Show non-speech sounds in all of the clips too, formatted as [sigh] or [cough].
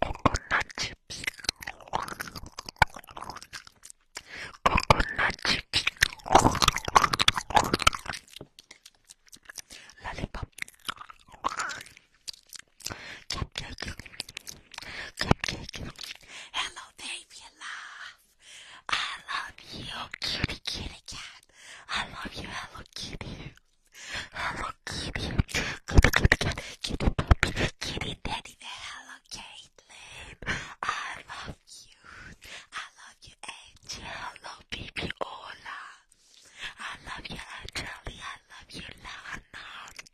Coconut chips. Coconut chips. Lollipop. Cupcake. Cupcake. Hello there, gave you life. I love you, kitty, kitty cat. I love you, hello kitty. Hello kitty. Kitty, kitty cat. Kitty puppy. Kitty daddy. Hello Caitlin. I love you. I love you, Angie. Hello baby Ola. I love you, Angelie. I love you, Lana.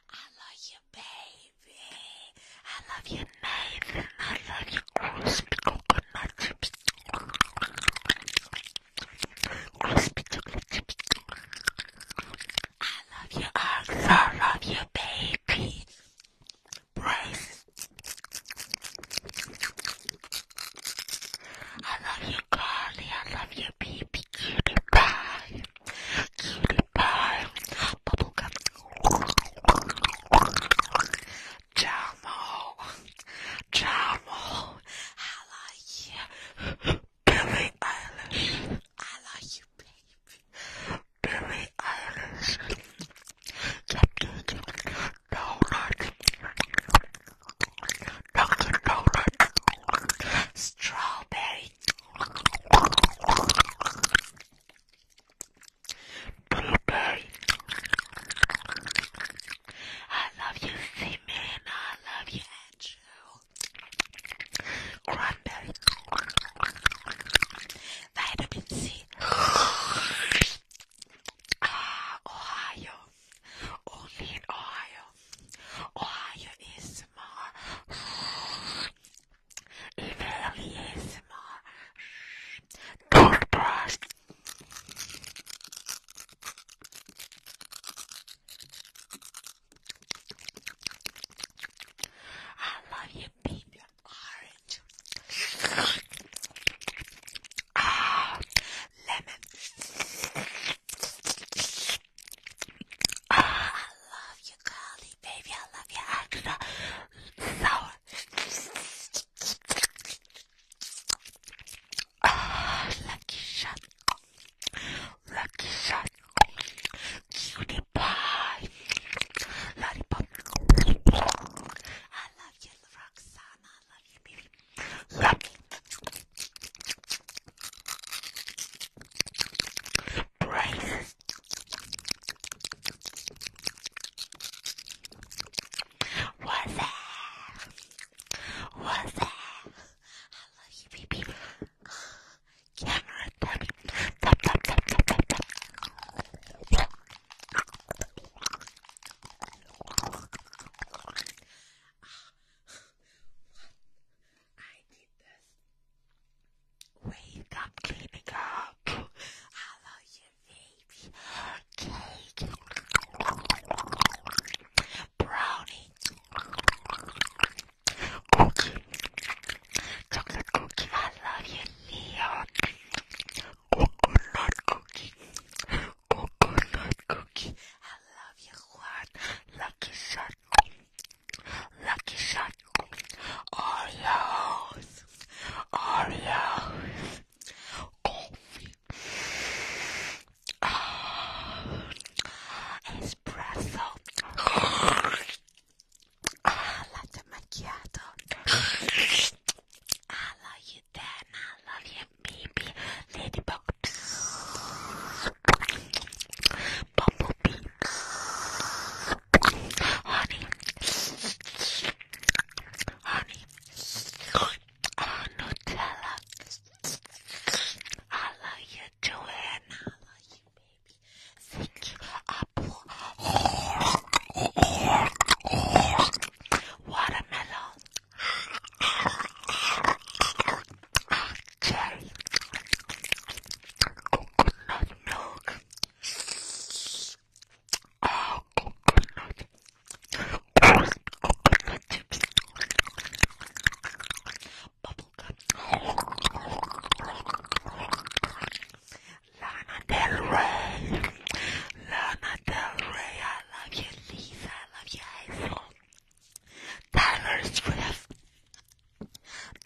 I love you, baby. I love you, Nathan. I love you, crispy coconut chips. Crispy chocolate chips. I love you, Arthur. I love you, baby. Brace. I love you, Carly. I love you, baby cutie cutie pie, bubblegum, Jamo, Jamo, I like you, Billie Eilish, I like you baby, Billie Eilish, Donut, Dunkin' Donut, Strawberry Blueberry. I love you, Seaman. I love you, Andrew. Cranberry. Vitamin C. ah, Ohio. Only in Ohio. Ohio is more. Italy is more. Toothbrush. I love you, baby. Orange. Ah, lemon. I love you, Carly, baby. I love your extra sour. lucky shot. Lucky shot. Cutie pie. Lollipop. I love you, Roxana. I love you, baby. Lucky. Brain. What's that? What's that? I love you, baby. Camera, dummy. Tap, tap, tap, tap, tap, tap. What? I did this. Wake up, cleaning up. I love you, baby. Cake. Brownie. Cookie. Chocolate cookie. I love you, Leon. Coconut cookie. Coconut cookie. I love you, Juan. Lucky shot. Lucky Shot Oreos, Oreos, coffee, ah. espresso, ah, latte macchiato. I love you, Dan. I love you, baby. Ladybug bumblebee. Honey, honey, oh, Nutella. I love you, Joanna. I love you, baby. Thank you, apple. Watermelon cherry, coconut milk, oh, coconut, coconut chips, Lana Del Rey, Lana Del Rey, I love you, Lisa, I love you, Tyler Swift.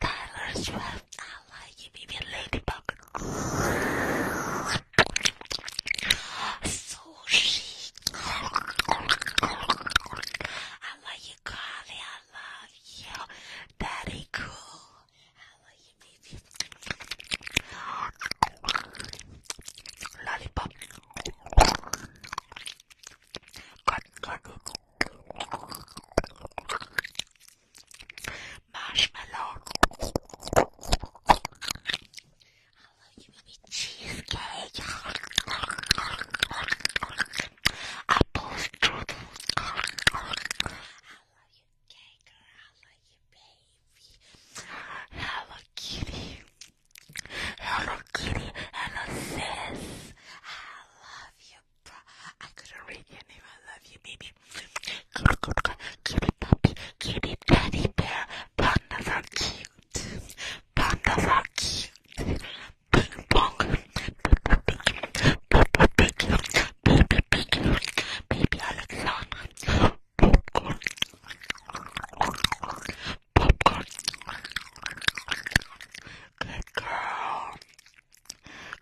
Tyler Swift. I like you, baby ladybug. So chic. I like you, Carly. I love you. Daddy cool. I love you, baby. Lollipop. Cut, cut, cut. Marshmallow. Hello, you baby cheesecake. Apple strudel. Hello, you cake. Hello, you baby. Hello, kitty. Hello Kitty, hello sis. I love you, bro. I couldn't read your name. I love you, baby. Kitty, kitty, kitty puppy, kitty teddy bear. Pandas are cute. Pandas are cute. Ping pong. Baby, baby, baby, baby Alexander. Popcorn. Popcorn. Good girl.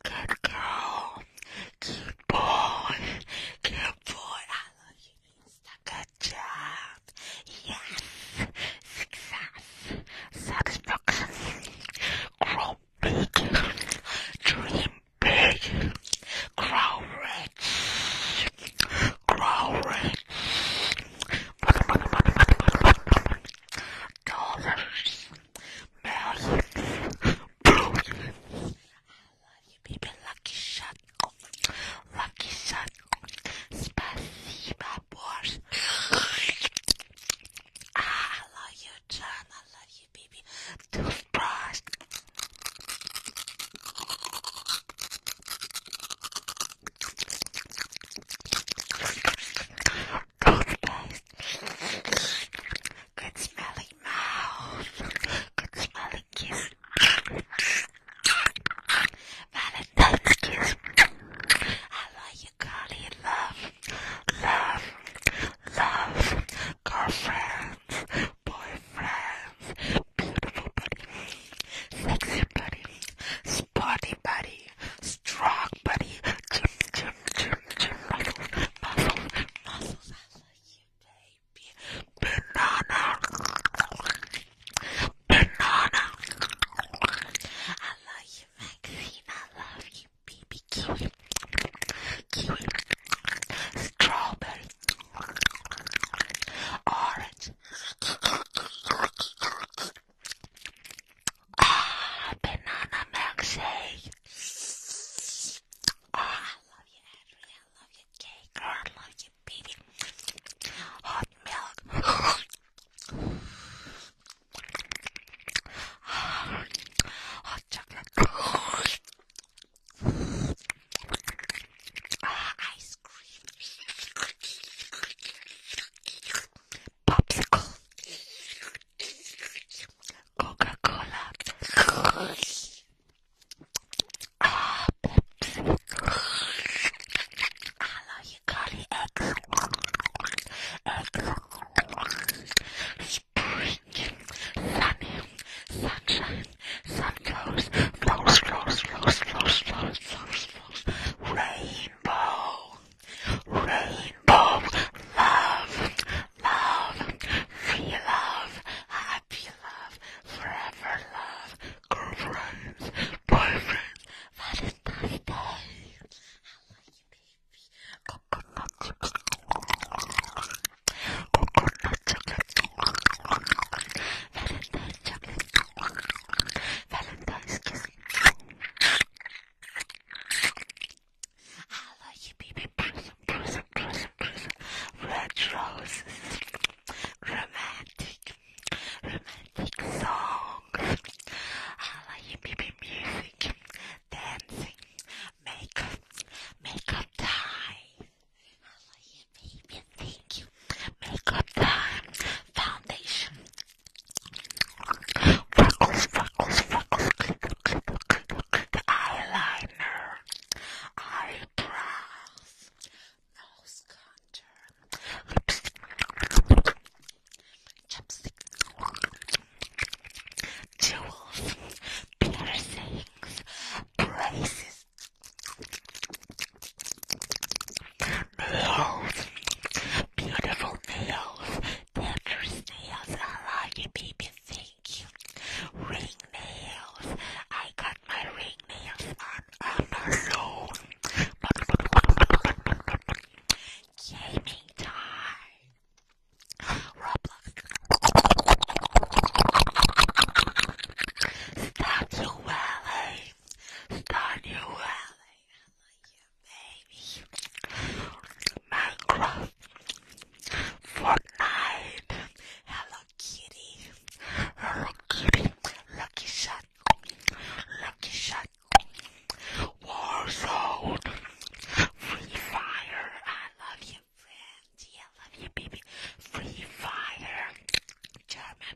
Good girl. Good boy. Good boy. I love you, Good job. Yes. Success. Satisfaction. Grow big. Dream big. Grow rich. Grow rich dollars. Million. Billion. I love you, baby. Lucky shot. Lucky shot. Spasiba, boys. Ah, I love you, John. I love you, baby. Toothbrush. Good smelling mouth. Good smelling kiss. Valentine's kiss. I love you, Carly. Love, love, love. Girlfriends, boyfriends, beautiful buddy, sexy buddy, sporty buddy strong buddy, gym, gym, gym, gym, muscles, muscles, muscles, I love you, baby. Banana, banana, I love you, Maxine, I love you, baby, kiwi, kiwi, strawberry, orange. Ah, banana milkshake. Oh, I love you, Adrian. I love you, cake. I love you, baby. Hot milk. Hot chocolate. Ah, ice cream popsicle, Coca-Cola, ah, Pepsi, hello, you got it, eggs, eggs, spring, sunny, sunshine, sun flows, flows, flows, flows, flows, flows, flows, flows, rain. Rainbow, rainbow, love, love, free love, happy love, forever love, girlfriends, boyfriends, Valentine's Day. I love you, baby. Coconut chocolate, coconut chocolate, Valentine's chocolate, Valentine's kiss. I love you, baby. Person, person, person, person. Red roses, romantic, romantic songs. I love you, baby. Music, dancing, makeup, makeup time. I love you, baby. Thank you. Makeup time, foundation, Freckles, freckles, freckles, glitter, glitter, glitter, glitter, eyeliner, eyebrows, nose contour, lipstick, chapstick, jewels, piercings, braces, nails. Beautiful nails. Dentures nails. I like it, baby. Thank you. Ring nails. I got my ring nails on Amazon. Gaming time. Roblox. Start your valley. Start your valley. Minecraft, Fortnite, Hello Kitty, Hello Kitty, Lucky Shot, Lucky Shot, Warzone, Free Fire. I love you, baby. Free Fire, German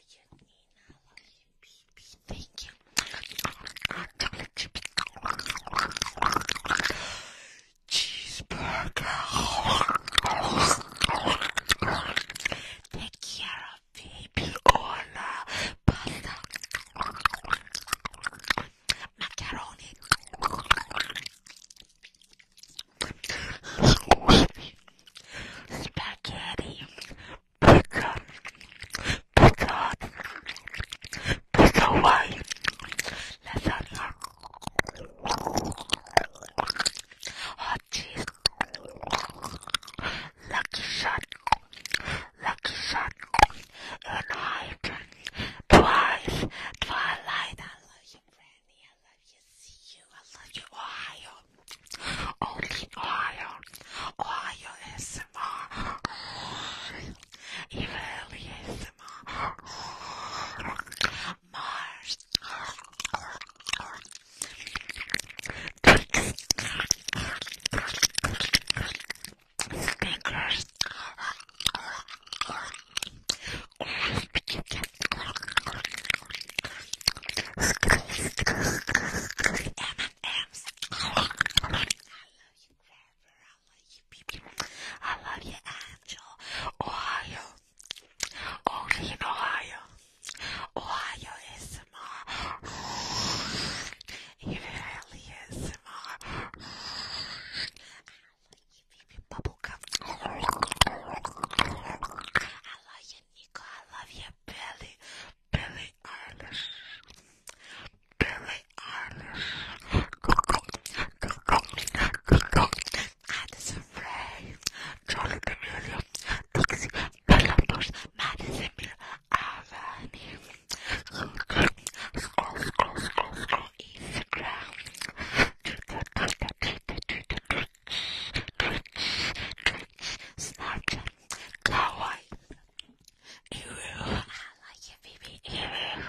you, Nina. I love you, baby. Thank you. Cheeseburger. Take care of baby Ola. Pasta. Macaroni. Spaghetti. Pickle. Pickle. Pickle wine. Lasagna. Hot cheese. Lucky shot. Lucky shot. And hide. Twice. Twilight. I you, love you. See you. I love you. Ohio. Only Ohio. Ohio ASMR. Israeli [sighs] ASMR. Mars. Snickers. M&M's. I love you, Trevor. I love you, people. I love you, Angel. Ohio. Only in Ohio. Ohio is more. It really is more. I love you, baby bubblegum. I love you, Nico, I love you, Billy, Billy Eilish, Billy Eilish, Addison Ray, Charlie D'Amelio, Dixie, Bella Bush, Madison Miller, Avani, scroll, scroll, scroll, scroll, Instagram, Twitter, Twitter, Twitter, Twitter, Twitter, Snark, kawaii, iru, I like you, baby, iru,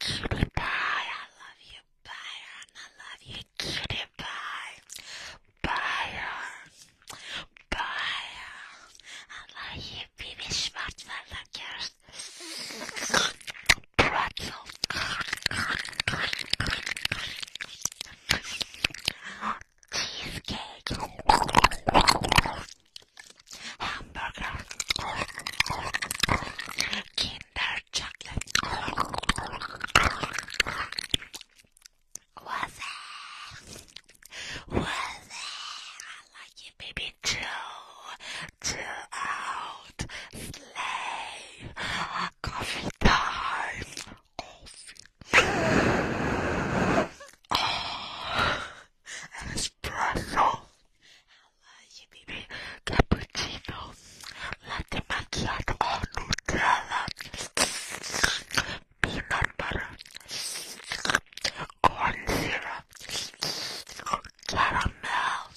cutie pie, I love you, Byron, I love you, cutie pie, Byron, Byron, I love you, baby, smart, I love yours, pretzel, Cheesecake. Hamburger. Kinder chocolate. What's that? What's that? I like you, baby. Chill. Chill out. Slay coffee time! Coffee. Oh, espresso. Hello, you baby. Cappuccino. Latte macchiato. Oh, Nutella. Peanut butter. Corn syrup. Caramel.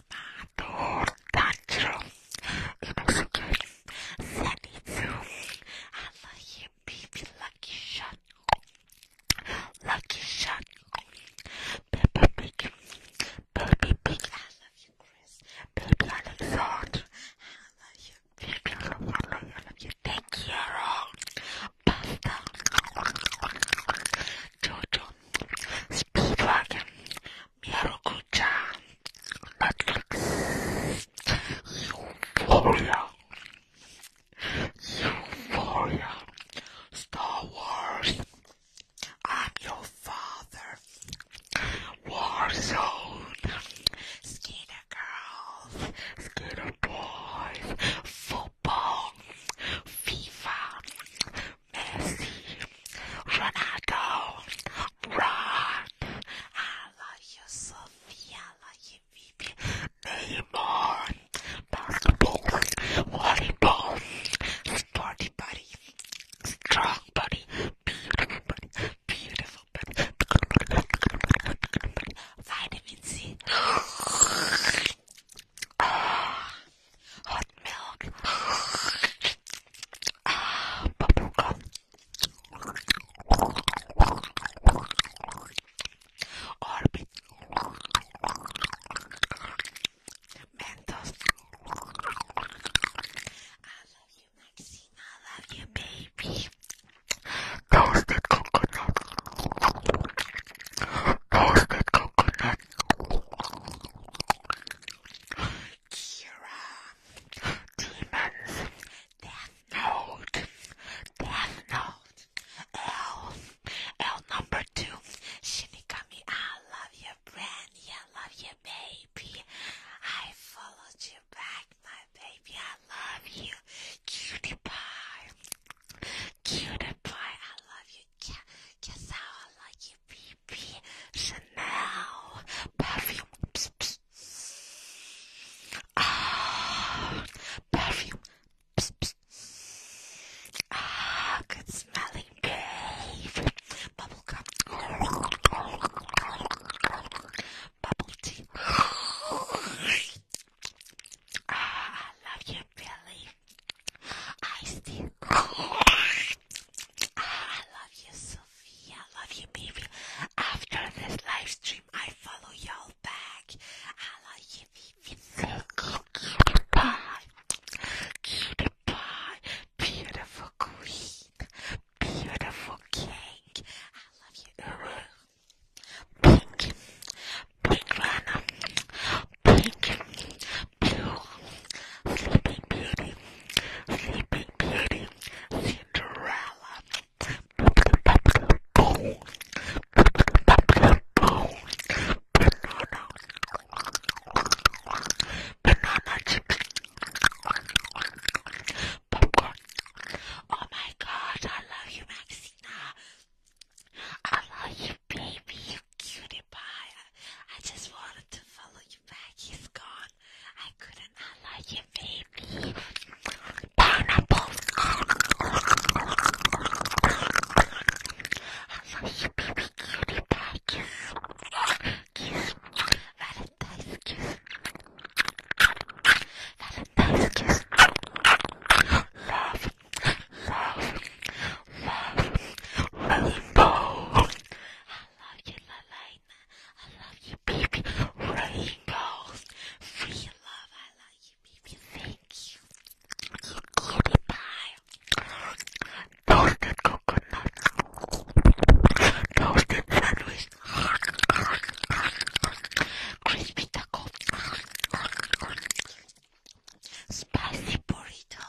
Tortaccio in Mexican. Send it to. I love you, baby. Lucky shot. Lucky shot. Baby big. Baby big. I love you, Chris. Baby, I I love you, baby. I love you. I love you. I you. Thank you, Pasta. Jojo. Speedwagon. Miracle-chan, Netflix, Star Wars, I'm Your Father, Warzone, Skinner Girls, Skinner Boys, Football, FIFA, Messi, Ronaldo, Ron. I love you, Sophia. basketball, volleyball, sporty body, strong body, beautiful body, beautiful body, vitamin C. hot milk, Ah, bubblegum. Orbit. Mentos. I love you, Maxine. I love you, baby. Toasted coconut. Toasted coconut. Kira, demons, death note, death note, L, L number two, Shinigami, I love you, Brandy, I love you, baby, I followed you back, my baby, I love you, cutie pie, cutie pie, I love you, Kazawa, I love you, Ivy, Chanel, perfume. Ah, perfume. Ah, good smelling Bubble gum. Bubble tea. Ah, I ah, ah, love you, Billy. I still Ah, I love you, Sophia. I love you, baby. After this live I follow y'all back. I love you, baby. cute pie. Cute pie. Beautiful queen. Beautiful king. I love you, Uru. Pink. Pink Rana. Pink. Sleeping Beauty, Sleeping Beauty, Cinderella. Oh my God, I love you, Maxina. I love you, baby. You cutie pie. I just wanted to follow he's he's gone. I couldn't unlike him, baby. Pineapple. I love you, baby cutie pie. Kiss. Valentine's kiss. Valentine's kiss. [gasps] Love. Love. Love. Rainbow love you, Lalaina. I love you, baby. Rainbows. Free love. I love you, baby. Thank you. You cutie pie. Toasted coconut. Toasted sandwich. Crispy taco. Spicy burrito burrito.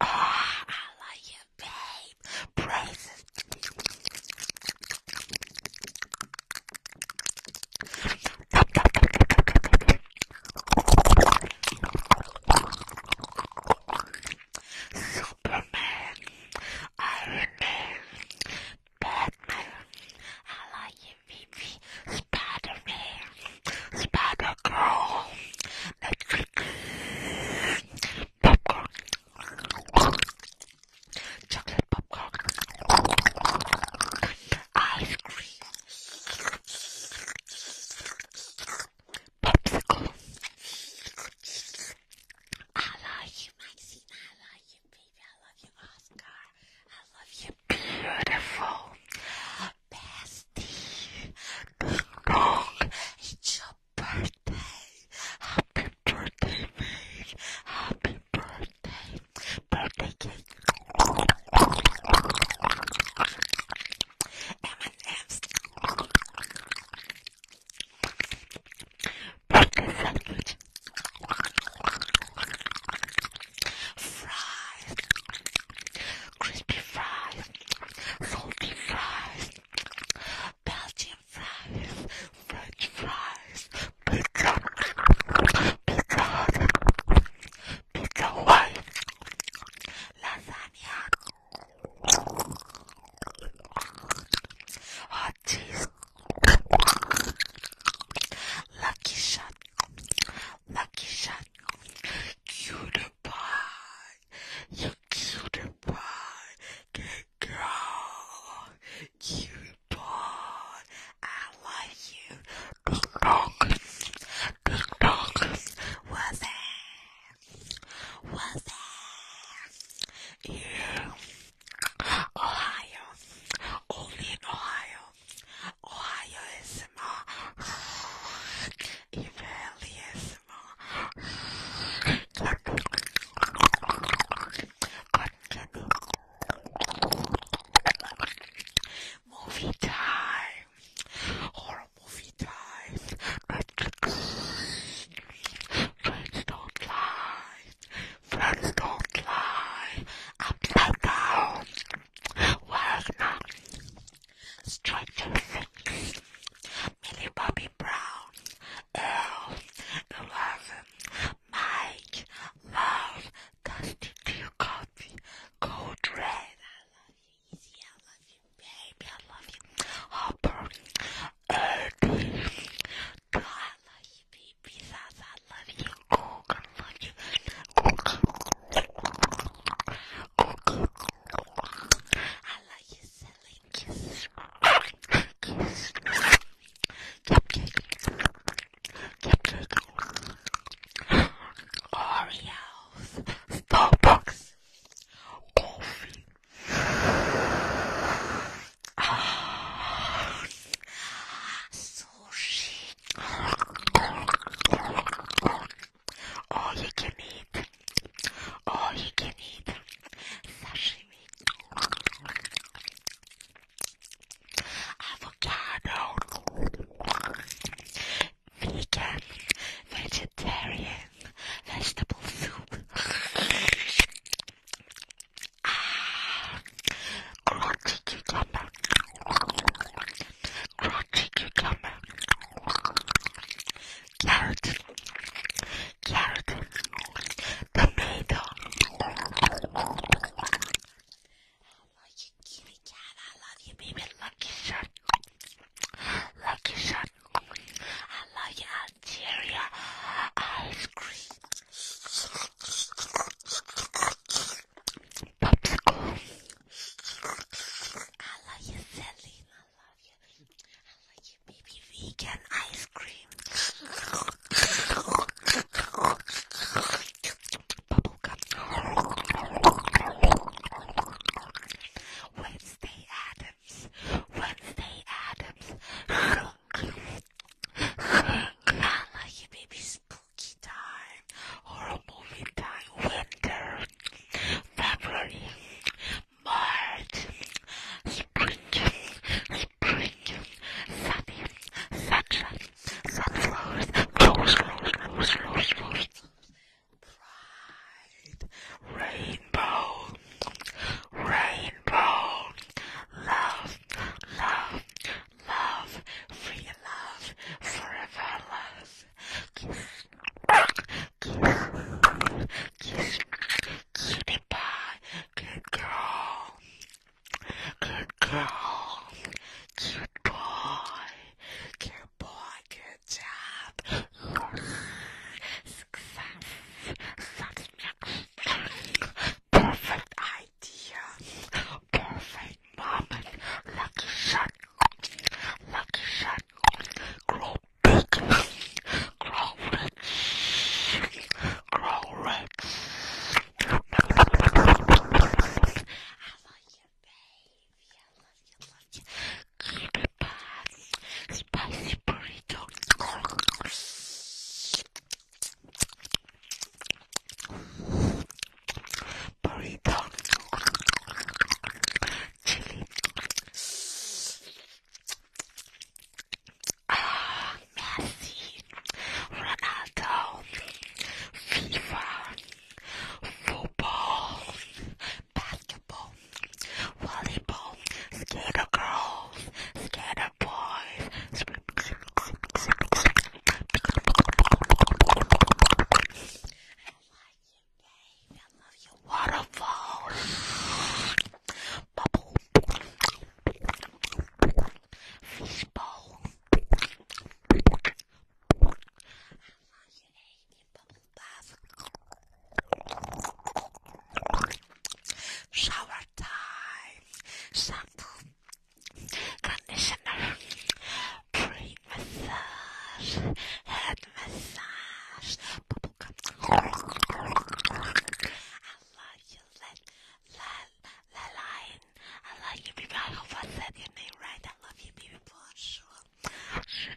Ah, I like you, babe. Praises. Superman, Iron Man, Batman, I like you, Vivi, Spider Man, Spider popcorn, chocolate popcorn, ice cream. Popsicle I love you, Maxine. I love you, baby. I love you, Oscar. I love you, beautiful bestie. Ding dong. It's your birthday. Happy birthday, babe. Happy birthday. Birthday cake. M&M's. Breakfast sandwich. Fries. Crispy fries. Salty fries. Belgian fries. French fries. Pizza. Pizza hut. Pizza white. Lasagna. Oh, jeez. Lucky shot. Lucky shot. Cutie pie. You cutie pie. Good girl. Cutie pie. I love you. Ding dong. Ding dong. What's that? was there in Ohio, only in Ohio. Ohio is small, it is small. Movie time, horror movie time. Friends don't lie. Friends don't lie. Upside down. Wagner. Stranger Things. Millie Bobby Brown. Earl. Eleven. Mike. Love. Dusty Ducati. Code Red. I love you baby, I love you. Hopper, Eddie, God, I love you, baby. Sasa, I love you. Cook, I love you. Cook, cook, I love you, silly kiss. Kiss. Cupcake. Cupcake. Oreos. Starbucks. Coffee. Oh, sushi. All you can eat. All you can eat. Sashimi. Avocado. Vegan. Vegetarian vegetable soup. ah, crunchy cucumber. Crunchy cucumber. Carrot. Carrot. Tomato. I love you, kitty cat. I love you, baby. Lucky shot. Lucky shot. I love you. I Algeria ice cream. Popsicle. I love you, Celine. I love you. I love you, baby vegan ice cream. Bubblegum. Wednesday at Wednesday Adams. like it may be spooky time, horror movie time, winter, February, March, spring, spring, sunny, sunshine, sunflowers, rose, rose, rose, rose, rose, pride. Rainbow, rainbow, love, love, love, free love, forever love. Kiss, kiss, kiss, cutie pie, good girl, good girl, cute boy, good boy, good job. Success. Perfect idea. Perfect moment. Lucky shot. Lucky shot. Grow big. Grow rich. Grow rich. I love you, baby. I love you, love you spicy burrito. Burrito, chili. Ah, Messi, Ronaldo, FIFA, football, basketball volleyball, skater girls, skater boys. I like you, babe. I love your waterfall, bubble, fishbowl. I love you, babe. Bubble bath, shower time, shampoo, conditioner, pre massage, head massage, I love you, let, let, let line. I love you, baby. I hope I said name right. I love you, baby. Bonjour.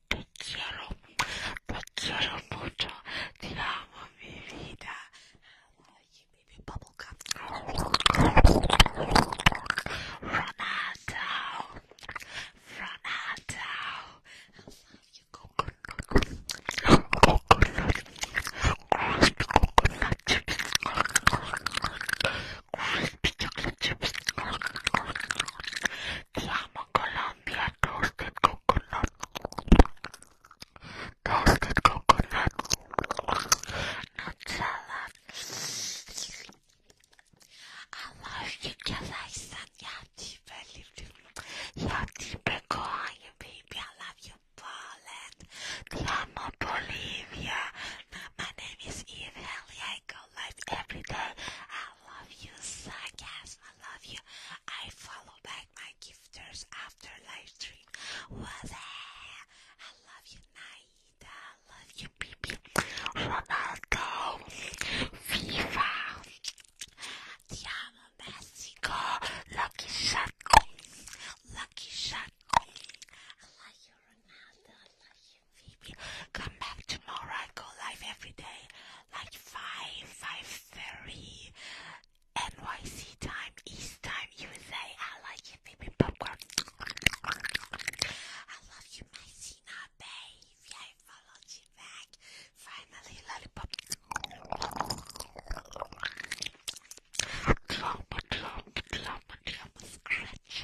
te quiero, te quiero mucho, te amo mi vida. I love you, baby bubblegum. Ronaldo, Ronaldo, I love you, coconut, coconut, coconut, coconut crispy chocolate chips, Tiamo Colombia toasted coconut, toasted coconut, nut salad. Allah şeker versen ya Tibel'im. Ya Tibel Kohanya baby I love you Poland. Tiamo Bolivia. My name is Eve Haley. I go live every day. I love you, Sagas. I love you. I follow back my gifters after live stream. What the I love you, Naida. I love you, Bibi. Ronaldo. Viva. Ti amo, Mexico. Lucky shot. Lucky shot. I love you, Ronaldo. I love you. Come back tomorrow. I go live every day, like five, five thirty, NYC time, East time, USA. I like you, baby I love you, my Sina, babe. I followed you back. Finally, lollipop. Clump, clump, clump, clump, scratch.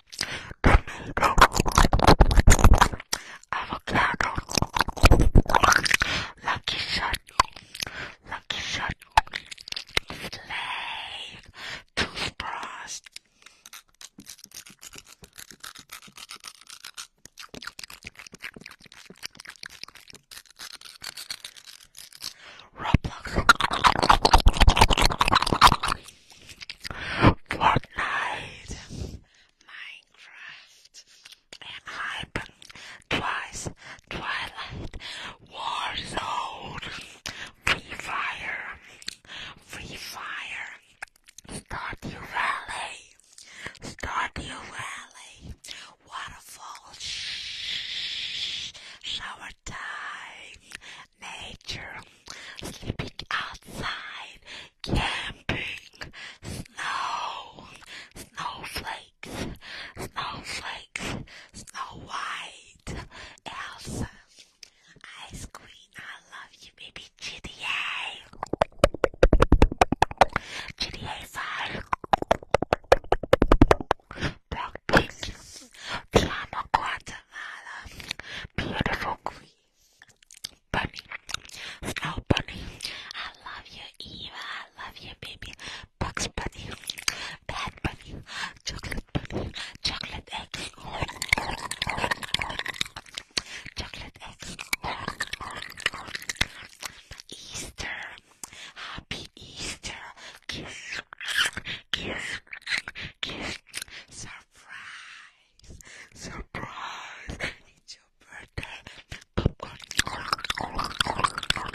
tornado, avocado, lucky shot, lucky shot, slave, toothbrush. Roblox Fortnite, Minecraft, and Hype, Twice, Twilight, Warzone, Free Fire, Free Fire, Stardew Valley, Stardew Valley, Waterfall, Shh, Shower Time, nature, sleeping outside, camping, snow, snowflakes, snowflakes, snow white, Elsa, ice queen, I love you, baby GTA, GTA 5, Brock Pink, Piano Quartet, Beautiful Bunny. Snow bunny. I love you, Eva. I love you, baby. Bugs bunny. Bad bunny. Chocolate bunny. Chocolate eggs. Chocolate eggs. Easter. Happy Easter. Kiss kiss, kiss, surprise, surprise, it's your birthday, pool party, pool party,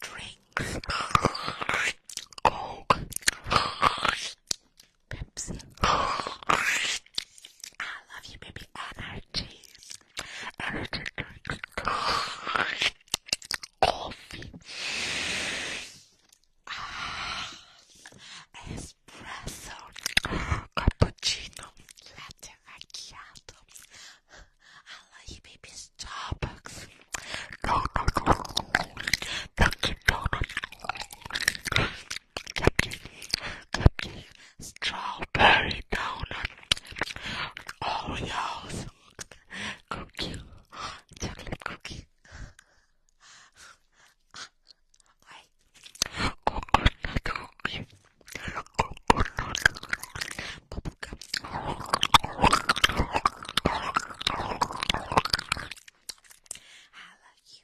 drinks, Pepsi. [sighs] I love you, baby. Energy. Energy Coffee. [sighs] espresso. Cappuccino. Latte macchiato. I love you, baby. Starbucks. No, no, no. Dunkin' Donuts. Captain, Captain, strawberry donut, Oreos, cookie, chocolate cookie, I love you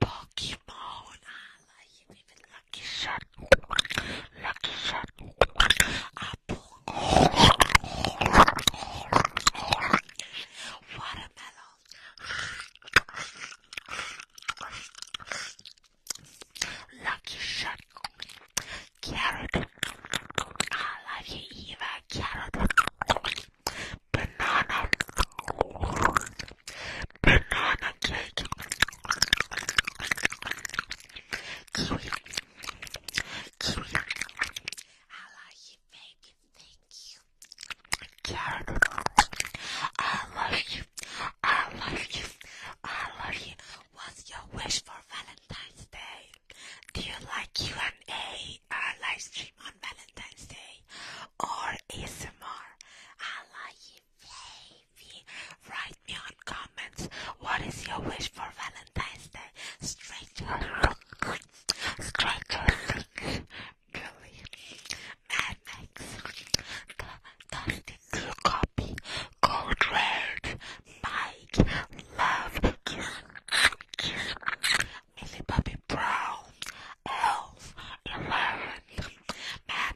Pokemon. I like it. Even Lucky Shot. Lucky Shot. Watermelon. Lucky Shot. Carrot. I love you, Eva. Carrot. Banana banana cake, kiwi, kiwi. I love you, baby. Thank you, I love you. I love you. I love you. What's your wish for Valentine's Day? Do you like Q&A live stream on Valentine's Day or ASMR? I love you wavy. Write me on comments. What is your wish for Valentine's Day? Stranger Stranger look. Billy. The Dusty Copy. Gold Red. Mike. Love. Kiss. Kiss. Millie Bobby Brown. Elf. Eleven. Mad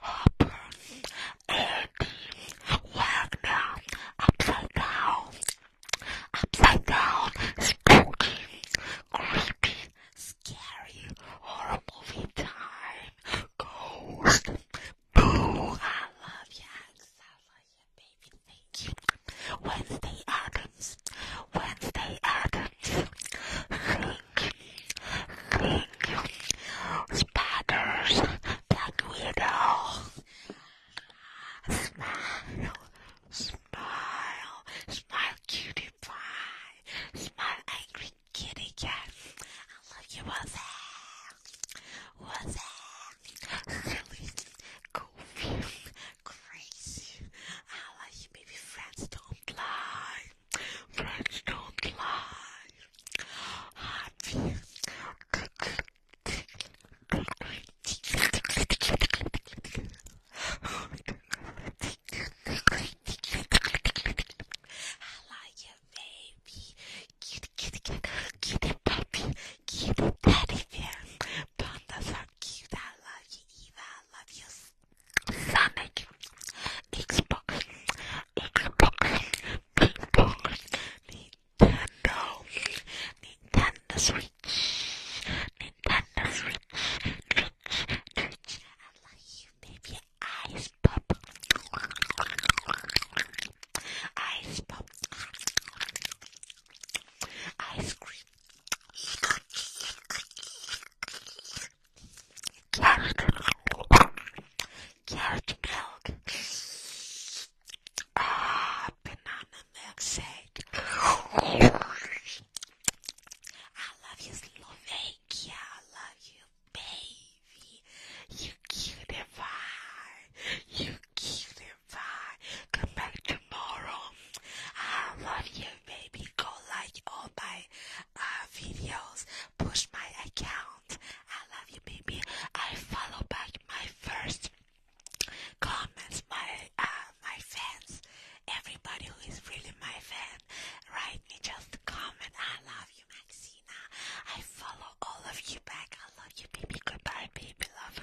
Hopper, Andy Wagner, Upside Down, Upside Down, Spooky, Creepy, Scary, Horror Movie Time, Ghost, Boo, I love ya, I love ya, baby, thank you. Wednesday, August things when they happen. Think, spiders that we smile, smile, smile, cutie pie, smile, angry kitty cat. I love you, what's that? What's crazy. I love you, baby friends. Don't don't lie. Friends don't lie. Happy. I like you, baby. Kitty, kitty, kitty, kitty puppy, kitty teddy bear. Pandas are cute. I love you, Eva. I love you. Sonic, Xbox, Xbox, Xbox, Nintendo, Nintendo Switch, Nintendo Switch, Twitch, Twitch, I love you, baby, Ice Pop, Ice Pop, Ice Cream, Carrot milk. Carrot milk. Ah, oh, banana milkshake. I love you, Slovakia. I love you, baby. You cute and fine. You cute and fine. Come back tomorrow. I love you, baby. Go like all my uh, videos. Push my account. I love you, baby. I follow back my first comments, my uh, my fans. Everybody who is really my fan, write me just comment. I love you, Maxina. I follow all of you back. I love you, baby. Goodbye, baby. Love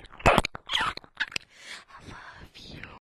I love you.